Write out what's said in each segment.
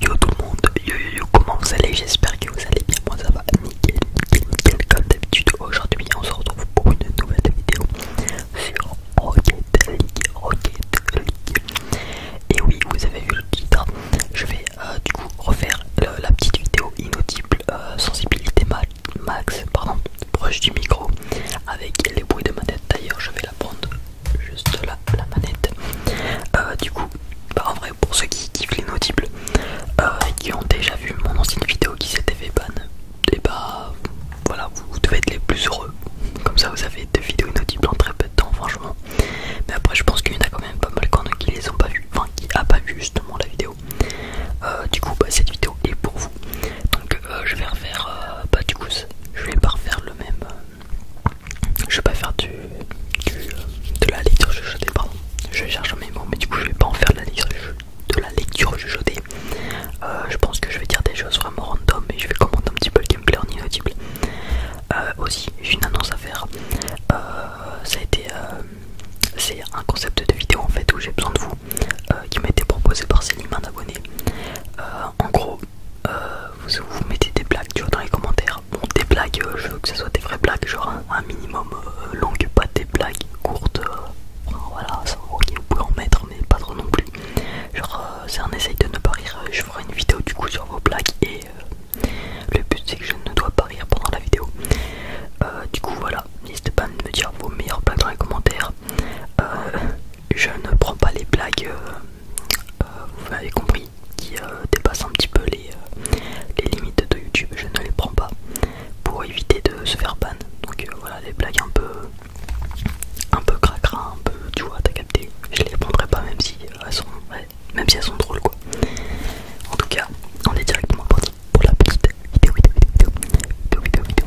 Yo tout le monde, yo yo yo, comment vous allez J'espère que vous allez bien, moi ça va nickel, nickel, nickel comme d'habitude. Aujourd'hui on se retrouve pour une nouvelle vidéo sur Rocket League, Rocket League. Et oui, vous avez vu le titre, je vais euh, du coup refaire la petite vidéo inaudible euh, sensibilité max, pardon, proche du micro avec les bruits de ma tête. D'ailleurs, je vais la prendre juste là la manette euh, du coup bah, en vrai pour ceux qui kiffent les nautibles euh, et qui ont déjà vu mon ancienne vidéo qui s'était fait ban et eh bah voilà vous, devez être les plus heureux comme ça vous avez deux vidéos inaudibles en très peu de temps franchement mais après je pense qu'il y en a quand même pas mal quand qui les ont pas vues enfin qui a pas vu justement la vidéo euh, du coup bah cette vidéo est pour vous donc je vais refaire bah du coup je vais pas refaire le même je vais pas faire du, de la lecture juchotée pardon. Je cherche un mots, mais du coup, je vais pas en faire de la lecture, de euh, je pense que je vais dire des choses vraiment random et je vais commenter un petit peu le gameplay en inaudible. Euh, aussi, j'ai une annonce à faire. Euh, ça a c'est un concept de vidéo en fait où j'ai besoin de vous, qui m'a été proposé par ces un abonné. en gros, euh, vous, mettez des blagues dans les commentaires. Bon, des blagues, euh, je veux que ce soit des vraies blagues, genre un, minimum longues, euh, longue, pas des blagues courtes. voilà, ça, ok, vous pouvez en mettre, mais pas trop non plus. Genre, c'est un de ne pas rire. Je ferai une vidéo du coup sur vos blagues et le but c'est que je ne dois pas rire pendant la vidéo. du coup, voilà, n'hésitez pas à me dire vos meilleures blagues dans les commentaires je ne prends pas les blagues, euh, euh, vous avez compris, qui euh, dépassent un petit peu les, limites de YouTube, je ne les prends pas pour éviter de se faire ban. Donc voilà, les blagues un peu un peu cracra, un peu, tu vois, t'as capté, je les prendrai pas même si elles sont, même si elles sont drôles quoi. En tout cas, on est directement parti pour la petite vidéo, vidéo, vidéo, vidéo.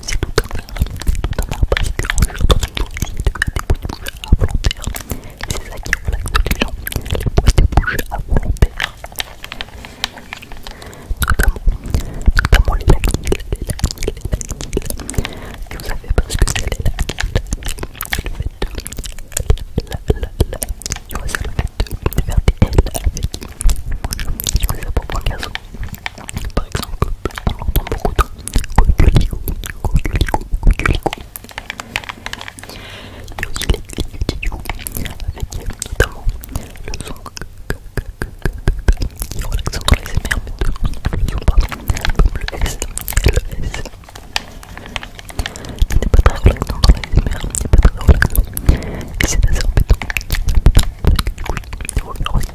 c'est tout un tout parce que dans tour de bouche à C'est les gens, à tout Notamment, les vous savez parce que c'est les le fait de... La, la, la, tu faire des L avec... Je pour un garçon on l'entend beaucoup trop. Il y a aussi les vidéos avec notamment le son qui est relaxant dans les émerges, le son pardon, comme le S et le S. qui n'est pas très relaxant dans les n'est pas très relaxant et c'est assez embêtant. Du coup, il revient aussi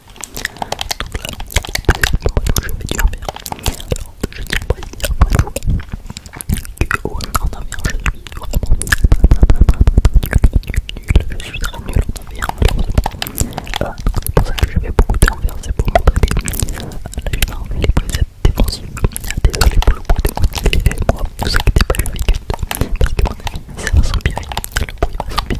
Donc là, c'est pour que je du dormir. Alors, je tiens à préciser après tout que au en avion, je suis vraiment nul, nul, nul. Je suis très nul en avion, c'est pour ça que je fais beaucoup d'envers, c'est pour montrer les, les, les presets défensives, Désolé pour le bruit de côté, et moi, vous inquiétez pas, je vais capter. Parce que mon avis, ça va s'empirer, le bruit va s'empirer.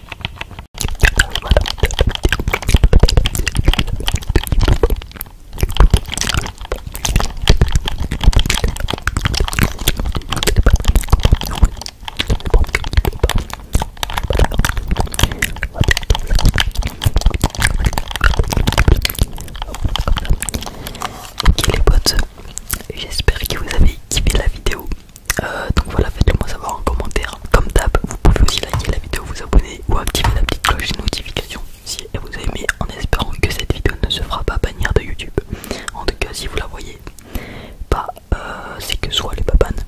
Ok les potes, j'espère que vous avez kiffé la vidéo. Euh, donc voilà, faites-le moi savoir en commentaire. Comme d'hab, vous pouvez aussi liker la vidéo, vous abonner ou activer la petite cloche de notification si elle vous a aimé en espérant que cette vidéo ne se fera pas bannir de YouTube. En tout cas, si vous la voyez, pas euh, c'est que soit pas babanes,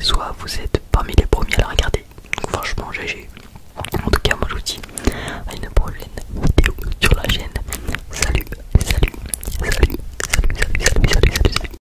soit vous êtes parmi les premiers à la regarder. Donc franchement, j'ai En tout cas, moi je vous dis à une prochaine vidéo sur la chaîne. Salut, salut, salut, salut, salut, salut, salut, salut. salut.